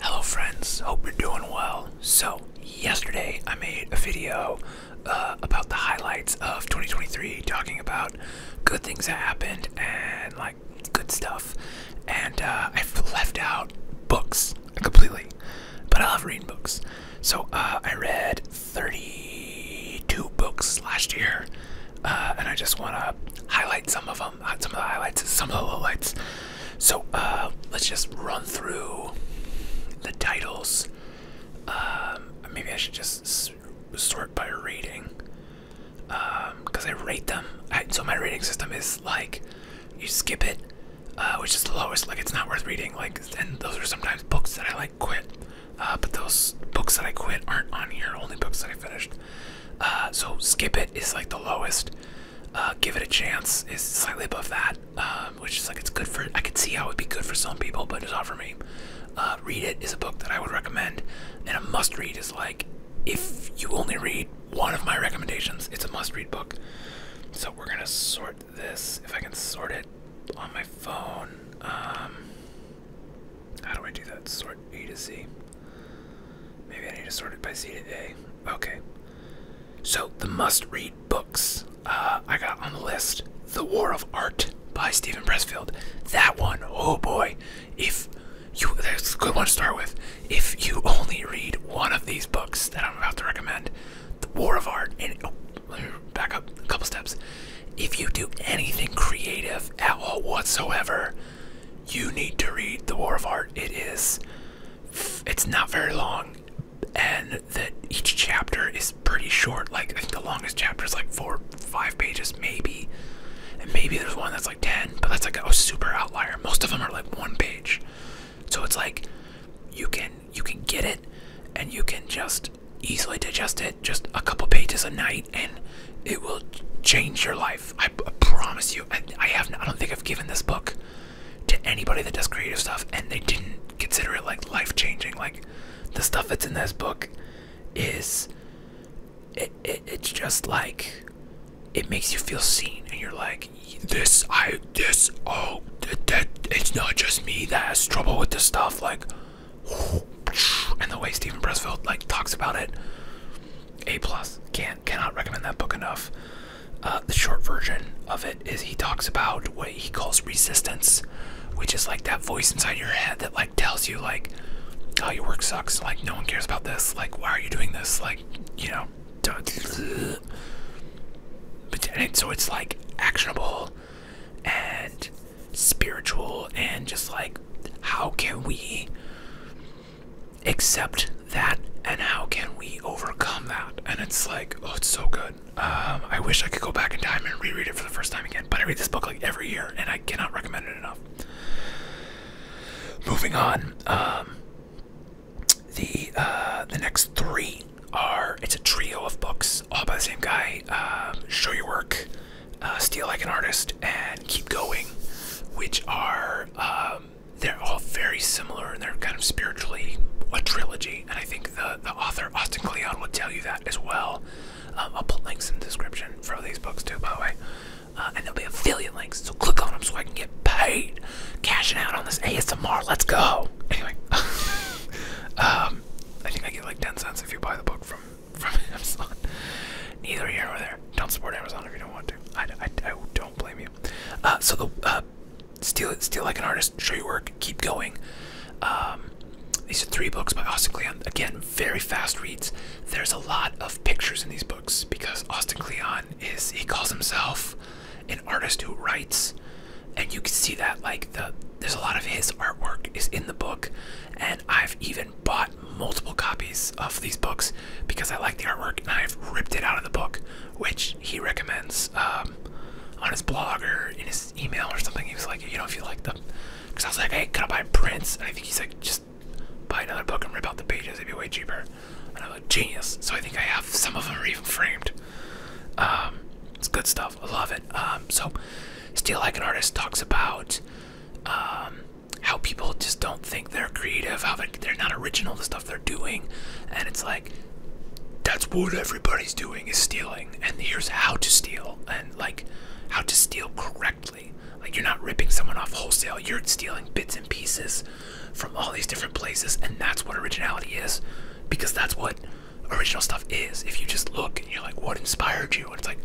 Hello friends, hope you're doing well. So, yesterday I made a video uh, about the highlights of 2023 talking about good things that happened and like good stuff. And uh, i left out books completely, but I love reading books. So uh, I read 32 books last year and I just want to highlight some of them some of the highlights, some of the lowlights. So uh, let's just run through the titles. Um, maybe I should just sort by rating because um, I rate them. so my rating system is like you skip it, uh, which is the lowest. Like it's not worth reading. Like and those are sometimes books that I like quit. Uh, but those books that I quit aren't on here. Only books that I finished. so skip it is like the lowest. Uh, give it a chance is slightly above that, um, which is like it's good for. I could see how it would be good for some people, but it's not for me. Uh, read it is a book that I would recommend, and a must read is like if you only read one of my recommendations, it's a must read book. So we're gonna sort this if I can sort it on my phone. Um, how do I do that? Sort A to Z. Maybe I need to sort it by to A. Okay. So the must-read books uh, I got on the list: *The War of Art* by Stephen Pressfield. That one, oh boy! If you, that's a good one to start with. If you only read one of these books that I'm about to recommend, *The War of Art*, and oh, back up a couple steps. If you do anything creative at all whatsoever, you need to read The War of Art. It is, it's not very long, and that each chapter is pretty short. Like, I think the longest chapter is like four, five pages, maybe. And maybe there's one that's like 10, but that's like a super outlier. Most of them are like one page. So it's like you can you can get it and you can just easily digest it just a couple pages a night and it will change your life i promise you i, have i don't think i've given this book to anybody that does creative stuff and they didn't consider it like life-changing like the stuff that's in this book is it's just like it makes you feel seen and you're like this i this oh that it's not just me that has trouble with this stuff like and the way Stephen Pressfield like talks about it a plus. Can't cannot recommend that book enough. Uh, the short version of it is he talks about what he calls resistance, which is like that voice inside your head that like tells you like, oh your work sucks, like no one cares about this, like why are you doing this, like you know. But and so it's like actionable and spiritual and just like how can we accept that and how can we overcome that? And it's like, oh, it's so good. Um, I wish I could go back in time and reread it for the first time again, but I read this book like every year and I cannot recommend it enough. Moving on, um, the uh, the next three are it's a trio of books all by the same guy. Um, Show Your Work, uh, Steal Like an Artist, and Keep Going, which are um, they're all very similar and they're kind of spiritually a trilogy. And I think the the author Austin Kleon will tell you that as well. Um, I'll put links in the description for these books too, by the way. Uh, and there'll be affiliate links, so click on them so I can get paid. Cashing out on this ASMR, let's go. Anyway, um, I think I get like 10 cents if you buy the book from from Amazon. Neither here nor there. Don't support Amazon if you don't want to. I, don't blame you. Uh, so the uh, steal it, steal like an artist, show your work, keep going. Um, these are three books by Austin Kleon. Again, very fast reads. There's a lot of pictures in these books because Austin Kleon is he calls himself an artist who writes, and you can see that like the there's a lot of his artwork is in the book. And I've even bought multiple copies of these books because I like the artwork and I've ripped it out of the book, which he recommends um, on his blog or in his email or something. He was like, you know, if you like them. Because I was like, hey, could I buy prints? I think he's like, just buy another book and rip out the pages. It'd be way cheaper. And I'm like, genius. So I think I have some of them are even framed. Um, it's good stuff. I love it. Um, so, Steel Like an Artist talks about how people just don't think they're creative, how they're not original, the stuff they're doing. And it's like, that's what everybody's doing is stealing. And here's how to steal and like how to steal correctly. Like, you're not ripping someone off wholesale, you're stealing bits and pieces from all these different places. And that's what originality is because that's what original stuff is. If you just look and you're like, what inspired you? And it's like,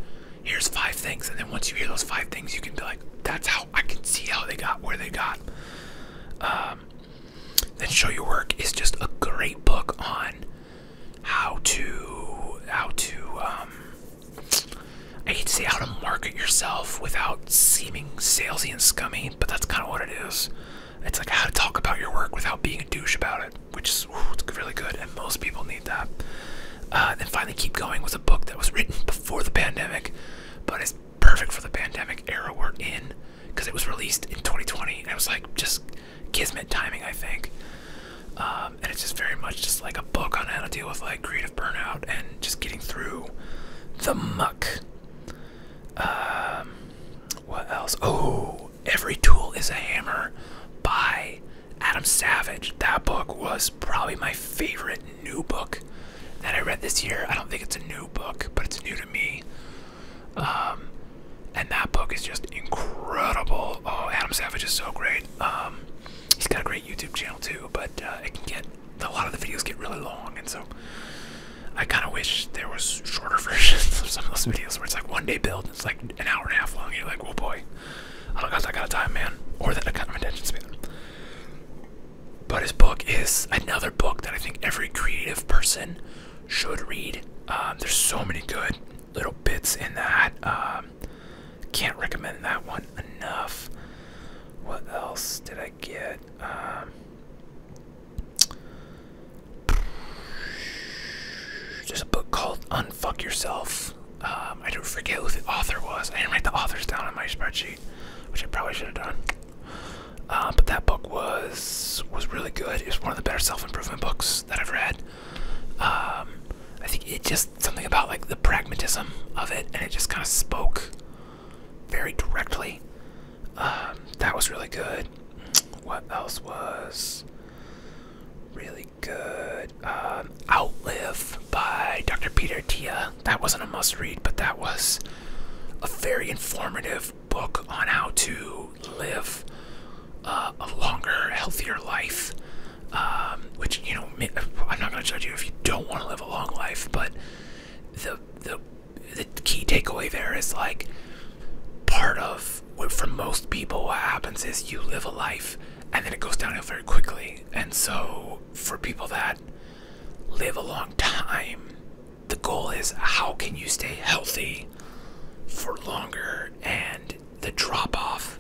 here's five things and then once you hear those five things you can be like that's how i can see how they got where they got um, then show your work is just a great book on how to how to um, i can to say how to market yourself without seeming salesy and scummy but that's kind of what it is it's like how to talk about your work without being a douche about it which is really good, and most people need that. Uh, and then finally, Keep Going was a book that was written before the pandemic, but it's perfect for the pandemic era we're in because it was released in 2020, and it was like just kismet timing, I think. Um, and it's just very much just like a book on how to deal with like creative burnout and just getting through the muck. Um, what else? Oh, Every Tool is a Hammer by Adam Savage. That book was probably my favorite new book that I read this year. I don't think it's a new book, but it's new to me. Um, and that book is just incredible. Oh, Adam Savage is so great. Um, he's got a great YouTube channel too, but uh, it can get a lot of the videos get really long, and so I kind of wish there was shorter versions of some of those videos where it's like one day build, and it's like an hour and a half long. And you're like, oh boy. I don't know, got I got a time, man, or that I got of attention span. But his book is another book that I think every creative person should read. Um, there's so many good little bits in that. Um, can't recommend that one enough. What else did I get? Um, a book called Fuck Yourself. Um, I don't forget who the author was. I didn't write the authors down on my spreadsheet, which I probably should have done. Um, but that book was was really good. It was one of the better self-improvement books that I've read. Um, I think it just something about like the pragmatism of it, and it just kind of spoke very directly. that was really good. What else was really very good. Um, Outlive by Dr. Peter Tia. That wasn't a must read, but that was a very informative book on how to live uh, a longer, healthier life. Um, which, you know, I'm not going to judge you if you don't want to live a long life, but the, the, the key takeaway there is like part of for most people, what happens is you live a life and then it goes downhill very quickly. And so, for people that live a long time, the goal is how can you stay healthy for longer? And the drop off,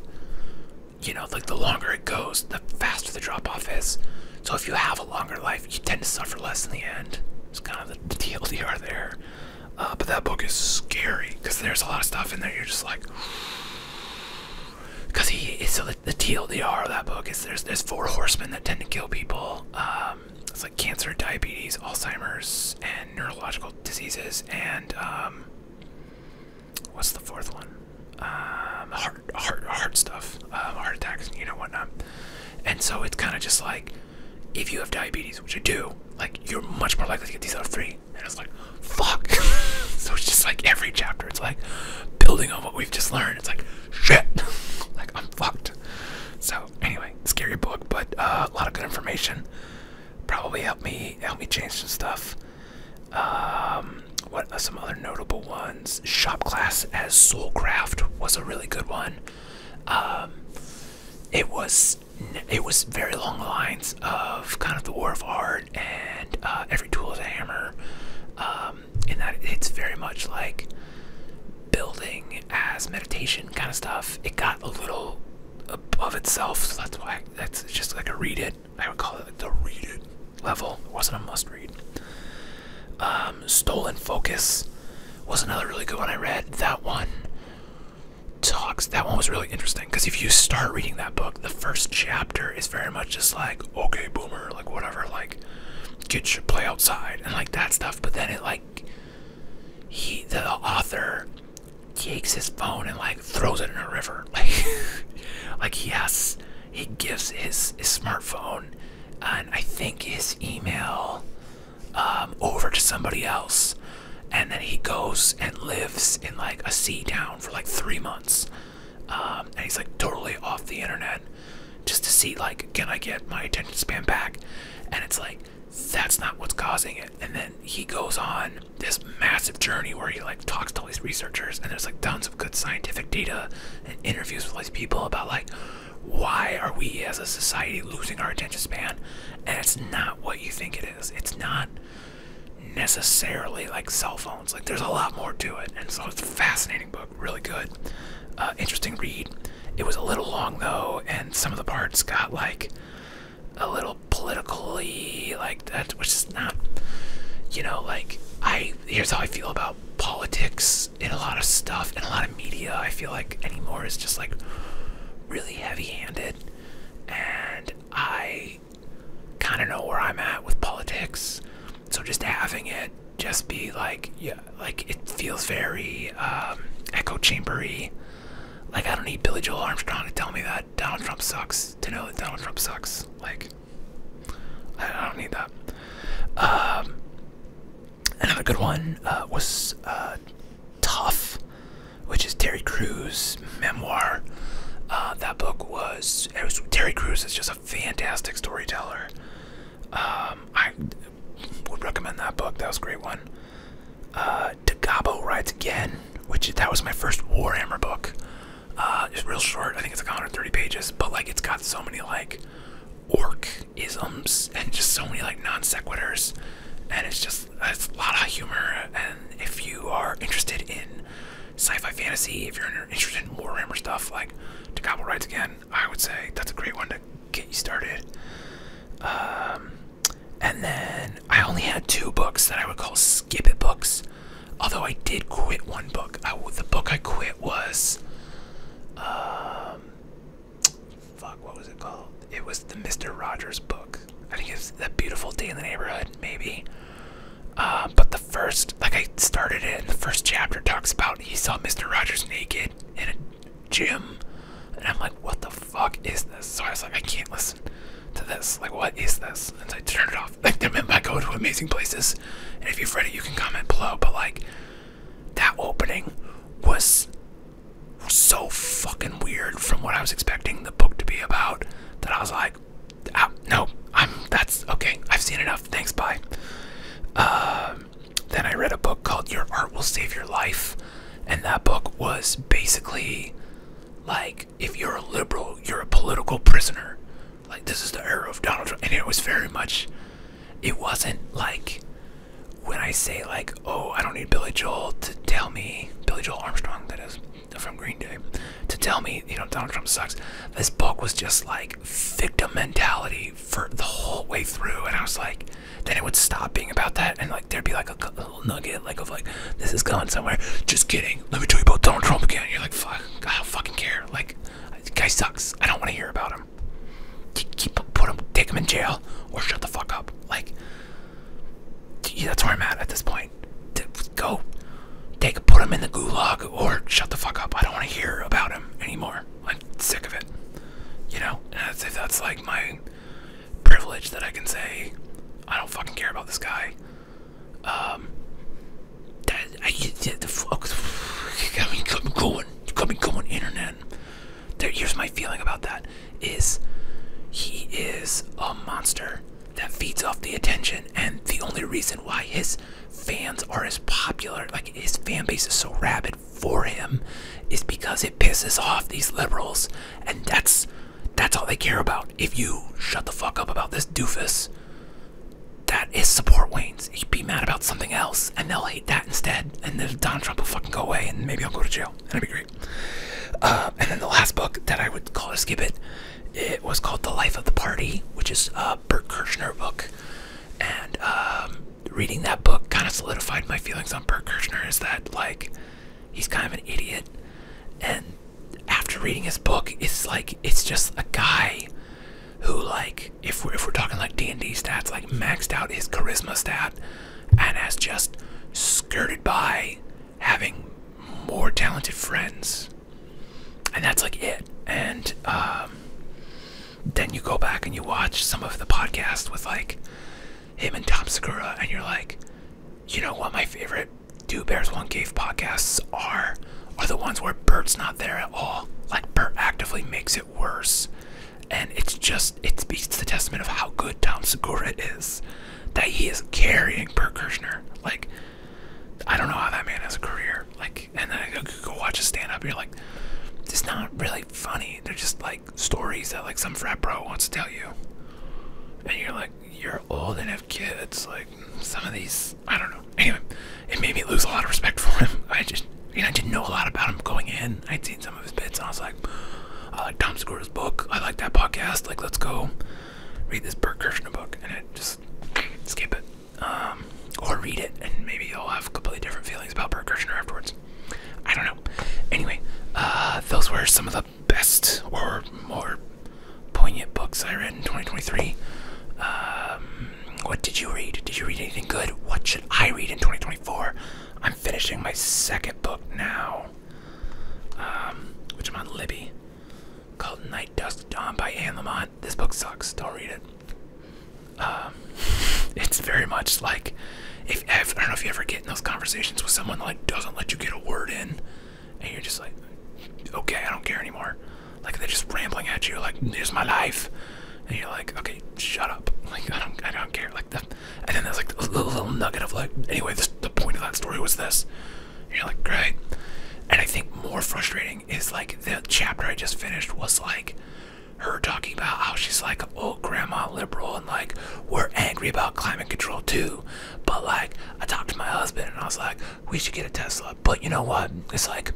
you know, like the longer it goes, the faster the drop off is. So, if you have a longer life, you tend to suffer less in the end. It's kind of the T L D R there. Uh, but that book is scary because there's a lot of stuff in there. You're just like, because he so the, the TLDR of that book is there's there's four horsemen that tend to kill people. Um, it's like cancer, diabetes, Alzheimer's, and neurological diseases, and um, what's the fourth one? Um, heart, heart, heart stuff, um, heart attacks, you know what not? And so it's kind of just like if you have diabetes, which I do, like you're much more likely to get these out three, And it's like, fuck. so it's just like every chapter, it's like building on what we've just learned. It's like, shit. like I'm fucked. So anyway, scary book, but uh, a lot of good information. Probably helped me help me change some stuff. Um, what are some other notable ones? Shop class as Soulcraft was a really good one. Um, it was it was very long lines of kind of the war of art and uh, every tool is a hammer um, in that it's very much like building as meditation kind of stuff it got a little above itself so that's why that's just like a read it i would call it like the read it level it wasn't a must read um, stolen focus was another really good one i read that one talks that one was really interesting because if you start reading that book the first chapter is very much just like okay boomer like whatever like kids should play outside and like that stuff but then it like he the author takes his phone and like throws it in a river like like yes, he gives his his smartphone and i think his email um, over to somebody else, and then he goes and lives in like a sea town for like three months, um, and he's like totally off the internet, just to see like can I get my attention span back, and it's like that's not what's causing it, and then he goes on this massive journey where he like talks to all these researchers, and there's like tons of good scientific data and interviews with all these people about like why are we as a society losing our attention span? And it's not what you think it is. It's not necessarily like cell phones. Like there's a lot more to it. And so it's a fascinating book, really good. Uh, interesting read. It was a little long though, and some of the parts got like a little politically like that, which is not, you know, like I here's how I feel about politics and a lot of stuff and a lot of media I feel like anymore is just like really heavy-handed, and I kind of know where I'm at with politics, so just having it just be like yeah, like it feels very um, echo chambery. Like I don't need Billy Joel Armstrong to tell me that Donald Trump sucks to know that Donald Trump sucks. Like I don't need that. Um, Another good one uh, was uh, Tough, which is Terry Crews' memoir. Uh, that book was, Terry Crews is just a fantastic storyteller. Um, I would recommend that book. That was a great one. Uh, Dagabo Rides Again, which that was my first Warhammer book. it's real short. I think it's like 130 pages, but like it's got so many like orc isms and just so many like non sequiturs and it's just it's a lot of humor and if you are interested in sci-fi fantasy if you're interested in warhammer stuff like to gobble rides again i would say that's a great one to get you started um, and then i only had two books that i would call skip it books although i did quit one book the book i quit was um, fuck, what was it called? It was the Mr. Rogers book. I think it's that Beautiful Day in the Neighborhood, maybe. Uh, but the first, like I started it, and the first chapter talks about he saw Mr. Rogers naked in a gym. And I'm like, what the fuck is this? So I was like, I can't listen to this. Like, what is this? And so I turned it off. Like, they're meant by go to amazing places. And if you've read it, you can comment below. But like, that opening was so fucking weird from what I was expecting the book to be about that I was like, oh, no, I'm that's okay. I've seen enough. Thanks, bye. Um, then I read a book called Your Art Will Save Your Life, and that book was basically like if you're a liberal, you're a political prisoner. Like this is the era of Donald Trump, and it was very much it wasn't like when I say like, oh, I don't need Billy Joel to tell me Billy Joel Armstrong, that is from Green Day, to tell me you know Donald Trump sucks. This book was just like victim mentality for the whole way through, and I was like, then it would stop being about that, and like there'd be like a, little nugget like of like this is going somewhere. Just kidding. Let me tell you about Donald Trump again. You're like fuck. I don't fucking care. Like this guy sucks. I don't want to hear about him. Keep put him, take him in jail, or shut the fuck up. Like that's where I'm at at this point. Go, take, put him in the gulag, or shut the fuck up. I don't want to hear about him anymore. I'm sick of it. You know, and that's if that's like my privilege that I can say I don't fucking care about this guy. Um, that I, oh, I mean, I'm going going coming going internet here's my feeling about that is he is a monster that feeds off the attention and the only reason why his fans are as popular like his fan base is so rabid for him is because it pisses off these liberals and that's that's all they care about if you shut the fuck up about this doofus that is support Wayne's. He'd be mad about something else, and they'll hate that instead. And then Donald Trump will fucking go away, and maybe I'll go to jail. And that'd be great. Uh, and then the last book that I would call to skip it, it was called The Life of the Party, which is a Bert Kirschner book. And um, reading that book kind of solidified my feelings on Bert Kirschner. is that, like, he's kind of an idiot. And after reading his book, it's like, it's just a guy who like if we're, if we're talking like d&d stats like maxed out his charisma stat and has just skirted by having more talented friends and that's like it and um, then you go back and you watch some of the podcasts with like him and tom segura and you're like you know what my favorite do bears one cave podcasts are are the ones where Bert's not there at all. Like Bert actively makes it worse. And it's just, it speaks to the testament of how good Tom Segura is. That he is carrying Bert Kirshner. Like, I don't know how that man has a career. Like, and then you go watch a stand up and you're like, it's not really funny. They're just like stories that like some frat bro wants to tell you. And you're like, you're old and have kids. Like, some of these I don't know. Anyway, it made me lose a lot of respect for him. I just, you know, I didn't know a lot about him going in. I'd seen some of his bits, and I was like, I like Tom Segura's book. I like that podcast. Like, let's go read this Bert Kirshner book, and I just skip it. Um, or read it, and maybe i will have completely different feelings about Bert Kirshner afterwards. I don't know. Anyway, uh, those were some of the best or more poignant books I read in 2023. Um, what did you read? Did you read anything good? What should I read in 2024? I'm finishing my second book now, um, which I'm on Libby, called Night Dust Dawn by Anne Lamont. This book sucks. Don't read it. Um, it's very much like if I don't know if you ever get in those conversations with someone that, like doesn't let you get a word in, and you're just like, okay, I don't care anymore. Like they're just rambling at you, like "Here's my life," and you're like, "Okay, shut up." Like I don't, I don't care. Like that. And then there's like a little, nugget of like, anyway, the point of that story was this. you're like, great. And I think more frustrating is like the chapter I just finished was like her talking about how she's like, oh, grandma liberal, and like we're angry about climate control too. But like, I talked to my husband and I was like, we should get a Tesla. But you know what? It's like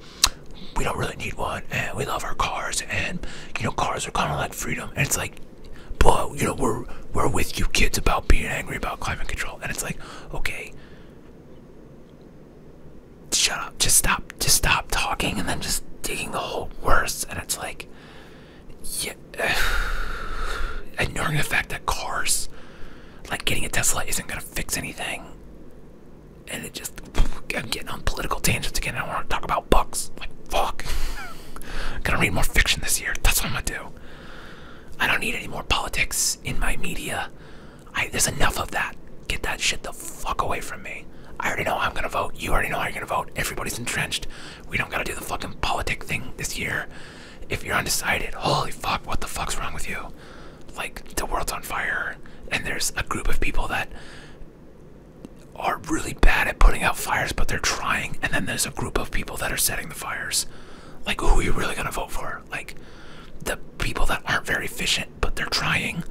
we don't really need one and we love our cars and you know cars are kind of like freedom and it's like but you know we're we're with you kids about being angry about climate control and it's like okay shut up just stop just stop talking and then just digging the whole worse and it's like yeah ignoring the fact that cars like getting a tesla isn't gonna fix anything and it just I'm getting on political tangents again. I want to talk about books. Like fuck. I'm gonna read more fiction this year. That's what I'm gonna do. I don't need any more politics in my media. I, there's enough of that. Get that shit the fuck away from me. I already know I'm gonna vote. You already know how you're gonna vote. Everybody's entrenched. We don't gotta do the fucking politic thing this year. If you're undecided, holy fuck, what the fuck's wrong with you? like the world's on fire and there's a group of people that are really bad at putting out fires but they're trying and then there's a group of people that are setting the fires like who are you really going to vote for like the people that aren't very efficient but they're trying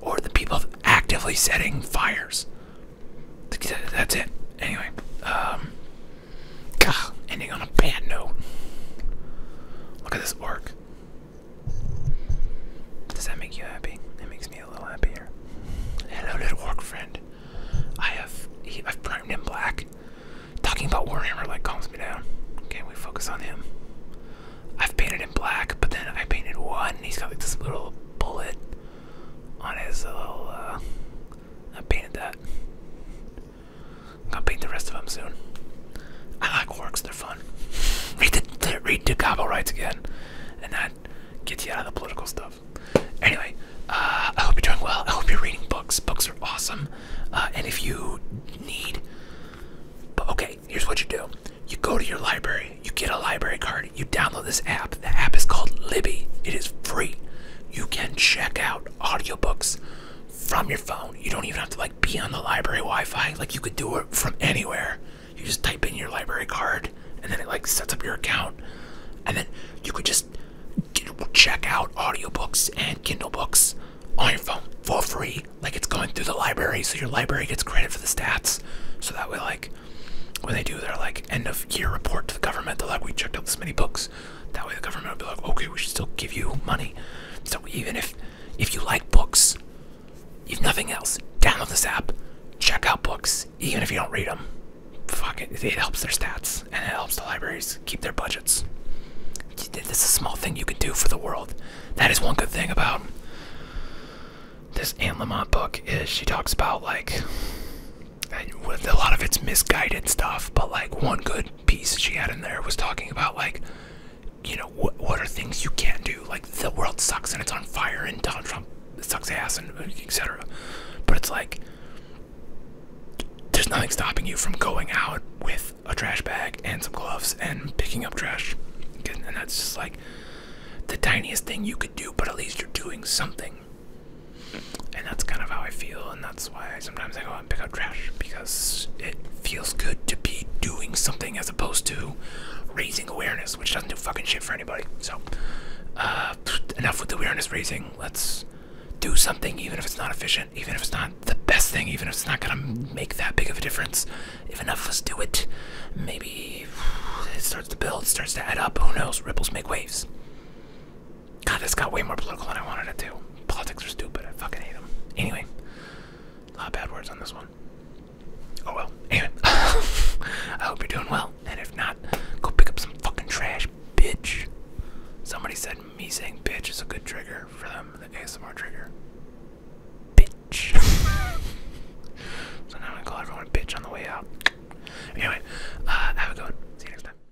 or the people actively setting fires that's it anyway um ending on a bad note look at this work? Does that make you happy? It makes me a little happier. Hello, little work friend. I have I've primed him black. Talking about Warhammer like calms me down. Okay, we focus on him. I've painted him black, but then I painted one. he's got like this little bullet on his little. Uh, I painted that. I'm gonna paint the rest of them soon. I like works; they're fun. Read the read the Cabo rights again, and that gets you out of the political stuff. Anyway, uh, I hope you're doing well. I hope you're reading books. Books are awesome, uh, and if you need, but okay, here's what you do: you go to your library, you get a library card, you download this app. The app is called Libby. It is free. You can check out audiobooks from your phone. You don't even have to like be on the library Wi-Fi. Like you could do it from anywhere. You just type in your library card and then it like sets up your account. And then you could just check out audiobooks and Kindle books on your phone for free. Like it's going through the library, so your library gets credit for the stats. So that way, like when they do their like end of year report to the government, they're like, we checked out this many books. That way the government will be like, okay, we should still give you money. So even if if you like books, if nothing else, download this app, check out books, even if you don't read them. Fuck it, it helps their stats and it helps the libraries keep their budgets. This is a small thing you can do for the world. That is one good thing about this Anne Lamott book is she talks about like a lot of it's misguided stuff, but like one good piece she had in there was talking about like you know what are things you can't do like the world sucks and it's on fire and Donald Trump sucks ass and etc. But it's like there's nothing stopping you from going out with a trash bag and some gloves and picking up trash. And that's just like the tiniest thing you could do, but at least you're doing something and that's kind of how I feel, and that's why sometimes I go out and pick up trash because it feels good to be doing something as opposed to raising awareness, which doesn't do fucking shit for anybody. So, uh, enough with the awareness raising. Let's do something, even if it's not efficient, even if it's not the best thing, even if it's not gonna make that big of a difference. If enough of us do it, maybe it starts to build, starts to add up. Who knows? Ripples make waves. God, this got way more political than I wanted it to. Politics are stupid. I fucking hate them. Anyway, a lot of bad words on this one. Oh well. Anyway, I hope you're doing well. And if not, go pick up some fucking trash, bitch. Somebody said me saying bitch is a good trigger for them, the ASMR trigger. Bitch. so now i call everyone bitch on the way out. Anyway, uh, have a good one. See you next time.